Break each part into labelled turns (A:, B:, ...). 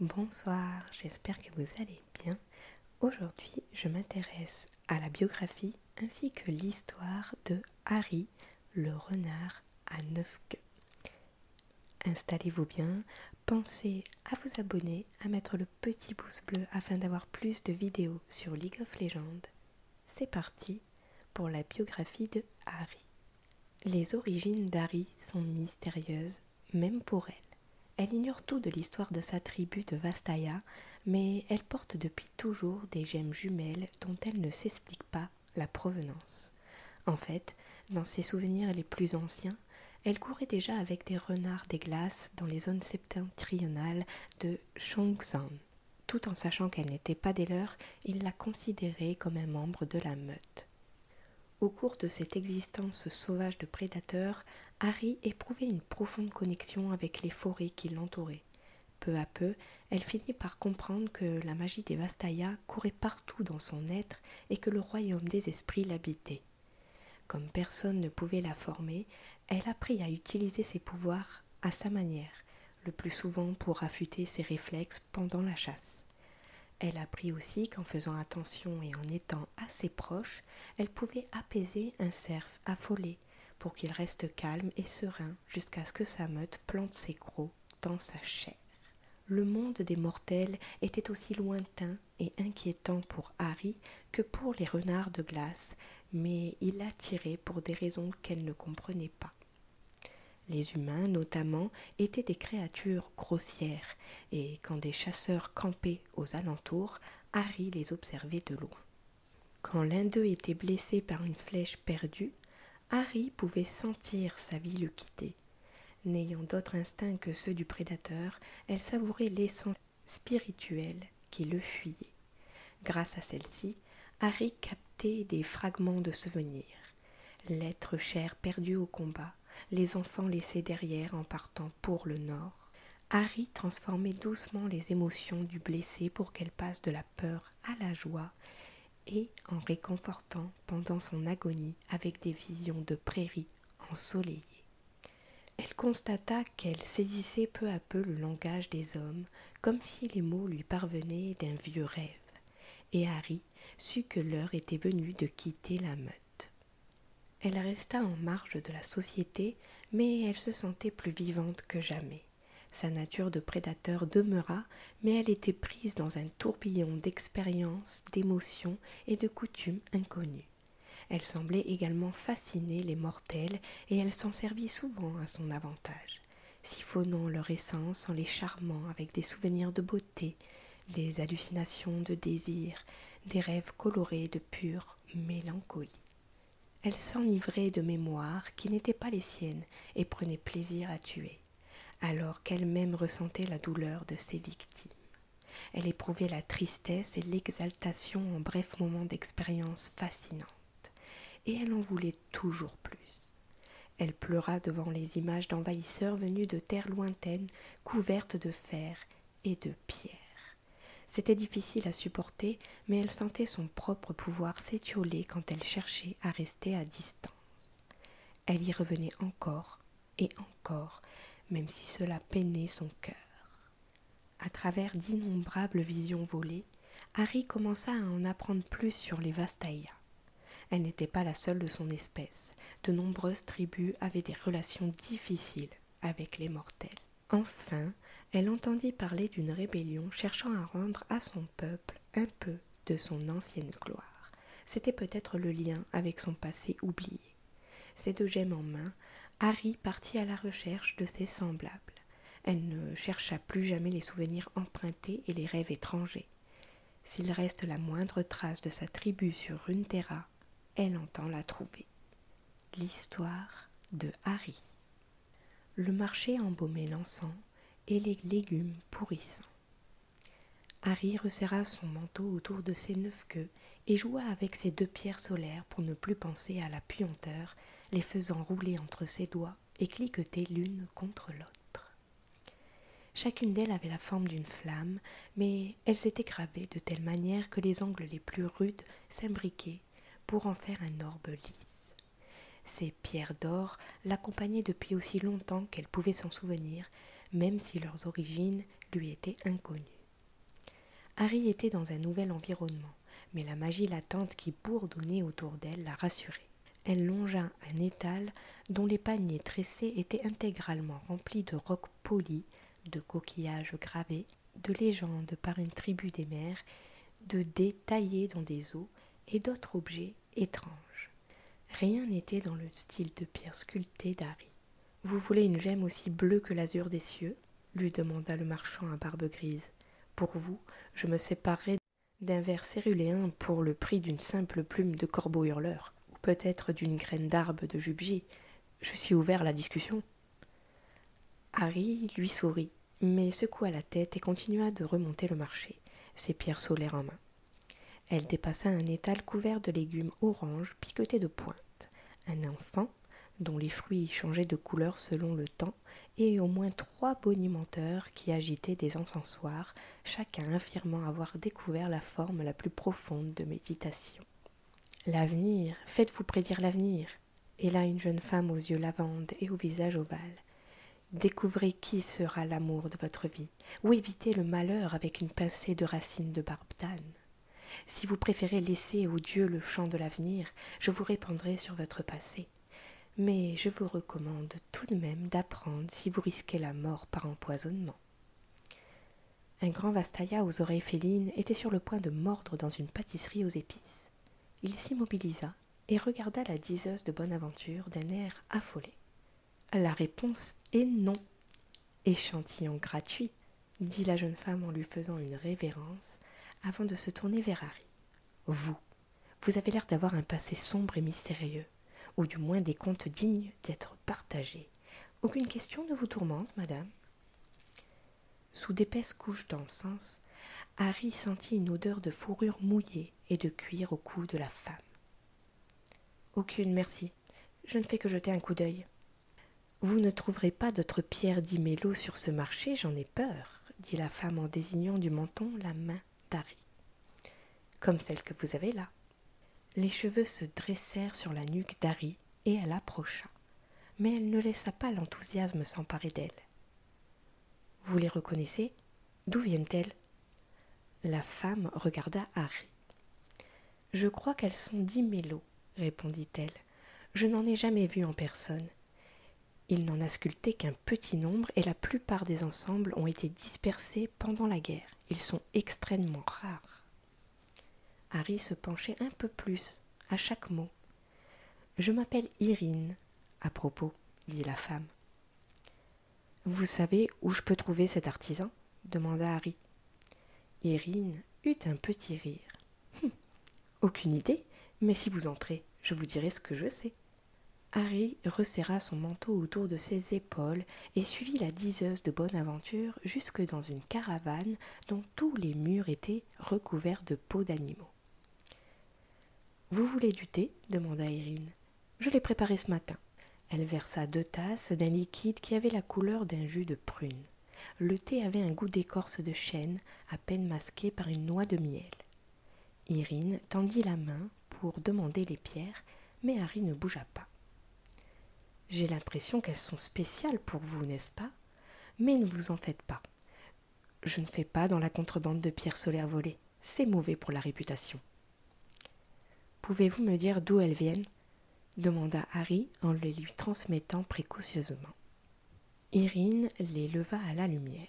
A: Bonsoir, j'espère que vous allez bien. Aujourd'hui, je m'intéresse à la biographie ainsi que l'histoire de Harry, le renard à neuf queues. Installez-vous bien, pensez à vous abonner, à mettre le petit pouce bleu afin d'avoir plus de vidéos sur League of Legends, c'est parti pour la biographie de Harry. Les origines d'Harry sont mystérieuses, même pour elle. Elle ignore tout de l'histoire de sa tribu de Vastaya, mais elle porte depuis toujours des gemmes jumelles dont elle ne s'explique pas la provenance. En fait, dans ses souvenirs les plus anciens, elle courait déjà avec des renards des glaces dans les zones septentrionales de tout en sachant qu'elle n'était pas des leurs, il la considérait comme un membre de la meute. Au cours de cette existence sauvage de prédateurs, Harry éprouvait une profonde connexion avec les forêts qui l'entouraient. Peu à peu, elle finit par comprendre que la magie des Vastaya courait partout dans son être et que le royaume des esprits l'habitait. Comme personne ne pouvait la former, elle apprit à utiliser ses pouvoirs à sa manière, le plus souvent pour affûter ses réflexes pendant la chasse. Elle apprit aussi qu'en faisant attention et en étant assez proche, elle pouvait apaiser un cerf affolé pour qu'il reste calme et serein jusqu'à ce que sa meute plante ses crocs dans sa chair. Le monde des mortels était aussi lointain et inquiétant pour Harry que pour les renards de glace, mais il l'attirait pour des raisons qu'elle ne comprenait pas. Les humains, notamment, étaient des créatures grossières, et quand des chasseurs campaient aux alentours, Harry les observait de loin. Quand l'un d'eux était blessé par une flèche perdue, Harry pouvait sentir sa vie le quitter. N'ayant d'autres instincts que ceux du prédateur, elle savourait les spirituelle qui le fuyait. Grâce à celle-ci, Harry captait des fragments de souvenirs. L'être cher perdu au combat, les enfants laissés derrière en partant pour le nord. Harry transformait doucement les émotions du blessé pour qu'elle passe de la peur à la joie et en réconfortant pendant son agonie avec des visions de prairies ensoleillée. Elle constata qu'elle saisissait peu à peu le langage des hommes, comme si les mots lui parvenaient d'un vieux rêve, et Harry sut que l'heure était venue de quitter la meute. Elle resta en marge de la société, mais elle se sentait plus vivante que jamais. Sa nature de prédateur demeura, mais elle était prise dans un tourbillon d'expériences, d'émotions et de coutumes inconnues. Elle semblait également fasciner les mortels et elle s'en servit souvent à son avantage, siphonnant leur essence en les charmant avec des souvenirs de beauté, des hallucinations de désir, des rêves colorés de pure mélancolie. Elle s'enivrait de mémoires qui n'étaient pas les siennes et prenait plaisir à tuer, alors qu'elle-même ressentait la douleur de ses victimes. Elle éprouvait la tristesse et l'exaltation en brefs moments d'expérience fascinantes, et elle en voulait toujours plus. Elle pleura devant les images d'envahisseurs venus de terres lointaines, couvertes de fer et de pierre. C'était difficile à supporter, mais elle sentait son propre pouvoir s'étioler quand elle cherchait à rester à distance. Elle y revenait encore et encore, même si cela peinait son cœur. À travers d'innombrables visions volées, Harry commença à en apprendre plus sur les Vastaya. Elle n'était pas la seule de son espèce. De nombreuses tribus avaient des relations difficiles avec les mortels. Enfin, elle entendit parler d'une rébellion cherchant à rendre à son peuple un peu de son ancienne gloire, c'était peut-être le lien avec son passé oublié. Ces deux gemmes en main, Harry partit à la recherche de ses semblables. Elle ne chercha plus jamais les souvenirs empruntés et les rêves étrangers. S'il reste la moindre trace de sa tribu sur Runeterra, elle entend la trouver. L'histoire de Harry. Le marché embaumait l'encens et les légumes pourrissants. Harry resserra son manteau autour de ses neuf queues et joua avec ses deux pierres solaires pour ne plus penser à la puanteur, les faisant rouler entre ses doigts et cliqueter l'une contre l'autre. Chacune d'elles avait la forme d'une flamme, mais elles étaient gravées de telle manière que les angles les plus rudes s'imbriquaient pour en faire un orbe lisse. Ces pierres d'or l'accompagnaient depuis aussi longtemps qu'elle pouvait s'en souvenir, même si leurs origines lui étaient inconnues. Harry était dans un nouvel environnement, mais la magie latente qui bourdonnait autour d'elle la rassurait. Elle longea un étal dont les paniers tressés étaient intégralement remplis de rocs polis, de coquillages gravés, de légendes par une tribu des mers, de dés taillés dans des os et d'autres objets étrange. Rien n'était dans le style de pierre sculptée d'Harry. Vous voulez une gemme aussi bleue que l'azur des cieux lui demanda le marchand à barbe grise. Pour vous, je me séparerai d'un verre céruléen pour le prix d'une simple plume de corbeau hurleur, ou peut-être d'une graine d'arbre de jubier. Je suis ouvert à la discussion. Harry lui sourit, mais secoua la tête et continua de remonter le marché, ses pierres solaires en main. Elle dépassa un étal couvert de légumes orange piquetés de pointes. Un enfant, dont les fruits changeaient de couleur selon le temps, et au moins trois bonimenteurs qui agitaient des encensoirs, chacun affirmant avoir découvert la forme la plus profonde de méditation. L'avenir, faites-vous prédire l'avenir. Et là une jeune femme aux yeux lavande et au visage ovale. Découvrez qui sera l'amour de votre vie, ou évitez le malheur avec une pincée de racines de barbe d'âne. Si vous préférez laisser aux dieux le champ de l'avenir, je vous répandrai sur votre passé. Mais je vous recommande tout de même d'apprendre si vous risquez la mort par empoisonnement. Un grand Vastaya aux oreilles félines était sur le point de mordre dans une pâtisserie aux épices. Il s'immobilisa et regarda la diseuse de bonne aventure d'un air affolé. La réponse est non. Échantillon gratuit, dit la jeune femme en lui faisant une révérence avant de se tourner vers Harry. Vous, vous avez l'air d'avoir un passé sombre et mystérieux, ou du moins des contes dignes d'être partagés. Aucune question ne vous tourmente, madame Sous d'épaisses couches d'encens, Harry sentit une odeur de fourrure mouillée et de cuire au cou de la femme. Aucune, merci. Je ne fais que jeter un coup d'œil. Vous ne trouverez pas d'autres pierres d'Imélo sur ce marché, j'en ai peur, dit la femme en désignant du menton la main d'Harry. Comme celle que vous avez là. Les cheveux se dressèrent sur la nuque d'Harry et elle approcha, mais elle ne laissa pas l'enthousiasme s'emparer d'elle. Vous les reconnaissez D'où viennent-elles La femme regarda Harry. Je crois qu'elles sont d'Imélo, répondit-elle. Je n'en ai jamais vu en personne. Il n'en a sculpté qu'un petit nombre et la plupart des ensembles ont été dispersés pendant la guerre. Ils sont extrêmement rares. Harry se penchait un peu plus à chaque mot je m'appelle Irine. À propos, dit la femme. Vous savez où je peux trouver cet artisan demanda Harry. Irine eut un petit rire. Hum, aucune idée, mais si vous entrez, je vous dirai ce que je sais. Harry resserra son manteau autour de ses épaules et suivit la diseuse de bonne aventure jusque dans une caravane dont tous les murs étaient recouverts de peaux d'animaux. Vous voulez du thé demanda Irine. « Je l'ai préparé ce matin. Elle versa deux tasses d'un liquide qui avait la couleur d'un jus de prune. Le thé avait un goût d'écorce de chêne, à peine masqué par une noix de miel. Irine tendit la main pour demander les pierres, mais Harry ne bougea pas. J'ai l'impression qu'elles sont spéciales pour vous, n'est-ce pas Mais ne vous en faites pas. Je ne fais pas dans la contrebande de pierres solaires volées. C'est mauvais pour la réputation. Pouvez-vous me dire d'où elles viennent demanda Harry en les lui transmettant précautionneusement. Irine les leva à la lumière.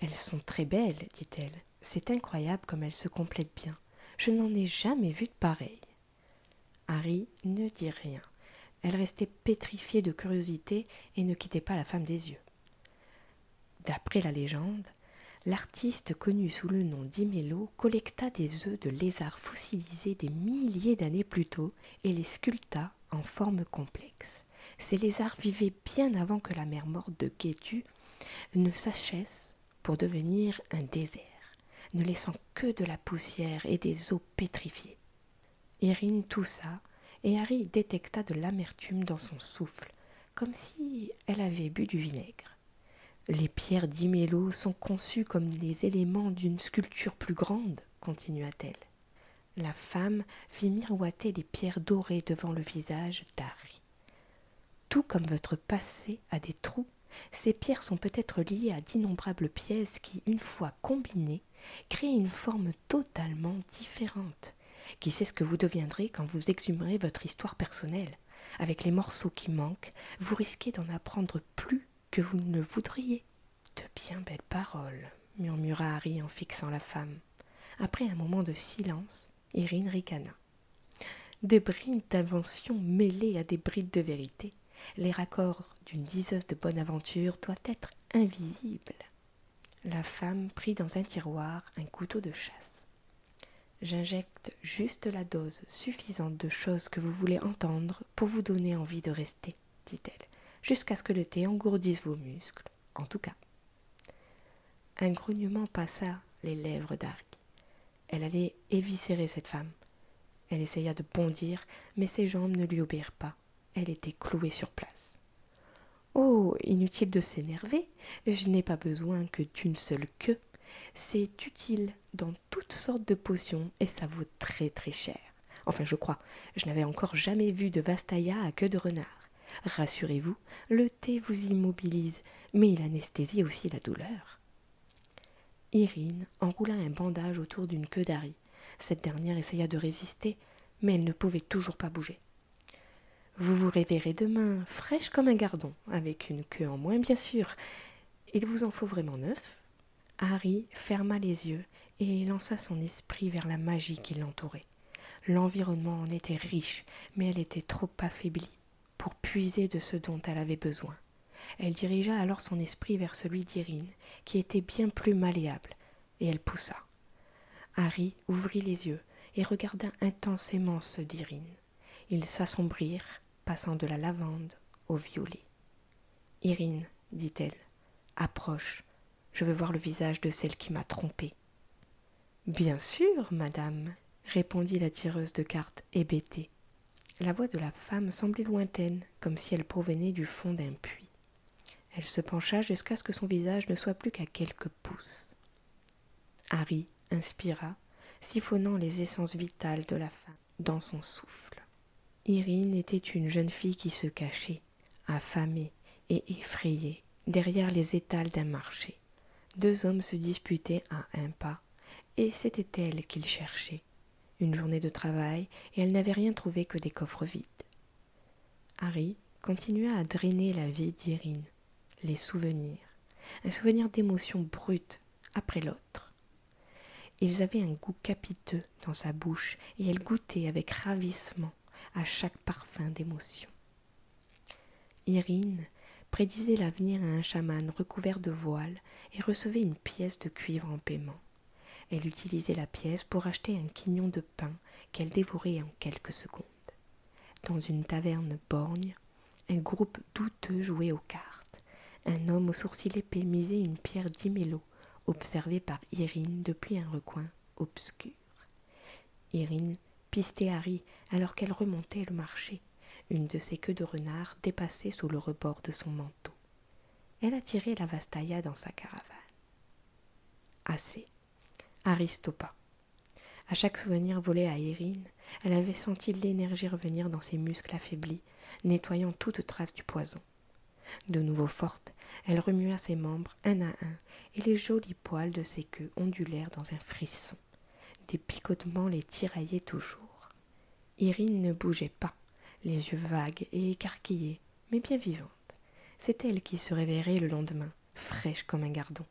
A: Elles sont très belles, dit-elle. C'est incroyable comme elles se complètent bien. Je n'en ai jamais vu de pareilles. Harry ne dit rien, elle restait pétrifiée de curiosité et ne quittait pas la femme des yeux. D'après la légende, l'artiste connu sous le nom d'Imelo, collecta des œufs de lézards fossilisés des milliers d'années plus tôt et les sculpta en forme complexe. Ces lézards vivaient bien avant que la mer morte de Gétu ne s'achesse pour devenir un désert, ne laissant que de la poussière et des eaux pétrifiées. Irine toussa, et Harry détecta de l'amertume dans son souffle, comme si elle avait bu du vinaigre. Les pierres d'Imélo sont conçues comme les éléments d'une sculpture plus grande, continua-t-elle. La femme fit miroiter les pierres dorées devant le visage d'Harry. Tout comme votre passé a des trous, ces pierres sont peut-être liées à d'innombrables pièces qui, une fois combinées, crée une forme totalement différente. Qui sait ce que vous deviendrez quand vous exhumerez votre histoire personnelle Avec les morceaux qui manquent, vous risquez d'en apprendre plus que vous ne voudriez. De bien belles paroles, murmura Harry en fixant la femme. Après un moment de silence, Irine ricana. Des brides d'invention mêlées à des brides de vérité. Les raccords d'une diseuse de bonne aventure doivent être invisibles. La femme prit dans un tiroir un couteau de chasse. J'injecte juste la dose suffisante de choses que vous voulez entendre pour vous donner envie de rester, dit-elle, jusqu'à ce que le thé engourdisse vos muscles, en tout cas. Un grognement passa les lèvres d'Arc. Elle allait éviscérer cette femme. Elle essaya de bondir, mais ses jambes ne lui obéirent pas. Elle était clouée sur place. Oh, inutile de s'énerver, je n'ai pas besoin que d'une seule queue. C'est utile dans toutes sortes de potions et ça vaut très très cher. Enfin, je crois, je n'avais encore jamais vu de vastaïa à queue de renard. Rassurez-vous, le thé vous immobilise, mais il anesthésie aussi la douleur. Irine enroula un bandage autour d'une queue d'Harry. Cette dernière essaya de résister, mais elle ne pouvait toujours pas bouger. Vous vous réveillerez demain, fraîche comme un gardon, avec une queue en moins, bien sûr. Il vous en faut vraiment neuf. Harry ferma les yeux et lança son esprit vers la magie qui l'entourait. L'environnement en était riche, mais elle était trop affaiblie pour puiser de ce dont elle avait besoin. Elle dirigea alors son esprit vers celui d'Irine, qui était bien plus malléable, et elle poussa. Harry ouvrit les yeux et regarda intensément ceux d'Irine. Ils s'assombrirent, passant de la lavande au violet. Irine, dit-elle, approche, je veux voir le visage de celle qui m'a trompée. Bien sûr, madame, répondit la tireuse de cartes hébétée. La voix de la femme semblait lointaine, comme si elle provenait du fond d'un puits. Elle se pencha jusqu'à ce que son visage ne soit plus qu'à quelques pouces. Harry inspira, siphonnant les essences vitales de la femme dans son souffle. Irine était une jeune fille qui se cachait, affamée et effrayée, derrière les étals d'un marché. Deux hommes se disputaient à un pas, et c'était elle qu'il cherchait. Une journée de travail, et elle n'avait rien trouvé que des coffres vides. Harry continua à drainer la vie d'Irine, les souvenirs, un souvenir d'émotion brute après l'autre. Ils avaient un goût capiteux dans sa bouche, et elle goûtait avec ravissement à chaque parfum d'émotion. Irine prédisait l'avenir à un chaman recouvert de voiles et recevait une pièce de cuivre en paiement. Elle utilisait la pièce pour acheter un quignon de pain qu'elle dévorait en quelques secondes. Dans une taverne borgne, un groupe douteux jouait aux cartes. Un homme aux sourcils épais misait une pierre d'Imélo, observée par Irine depuis un recoin obscur. Irine pistait Harry alors qu'elle remontait le marché une de ses queues de renard dépassait sous le rebord de son manteau. Elle attirait la Vastaya dans sa caravane. Assez. Aristopa. À chaque souvenir volé à Erin, elle avait senti l'énergie revenir dans ses muscles affaiblis, nettoyant toute trace du poison. De nouveau forte, elle remua ses membres un à un, et les jolis poils de ses queues ondulèrent dans un frisson. Des picotements les tiraillaient toujours. Irine ne bougeait pas, les yeux vagues et écarquillés, mais bien vivantes. C'est elle qui se réveillerait le lendemain, fraîche comme un gardon,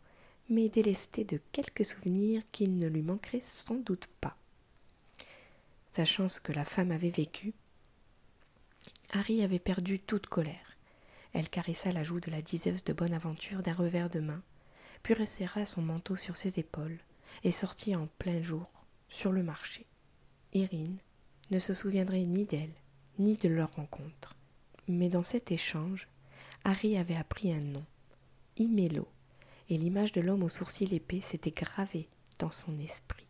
A: mais délestée de quelques souvenirs qu'il ne lui manquerait sans doute pas. Sachant ce que la femme avait vécu, Harry avait perdu toute colère. Elle caressa la joue de la diseuse de bonne aventure d'un revers de main, puis resserra son manteau sur ses épaules et sortit en plein jour sur le marché. Irine ne se souviendrait ni d'elle ni de leur rencontre, mais dans cet échange, Harry avait appris un nom, Imélo, et l'image de l'homme aux sourcils épais s'était gravée dans son esprit.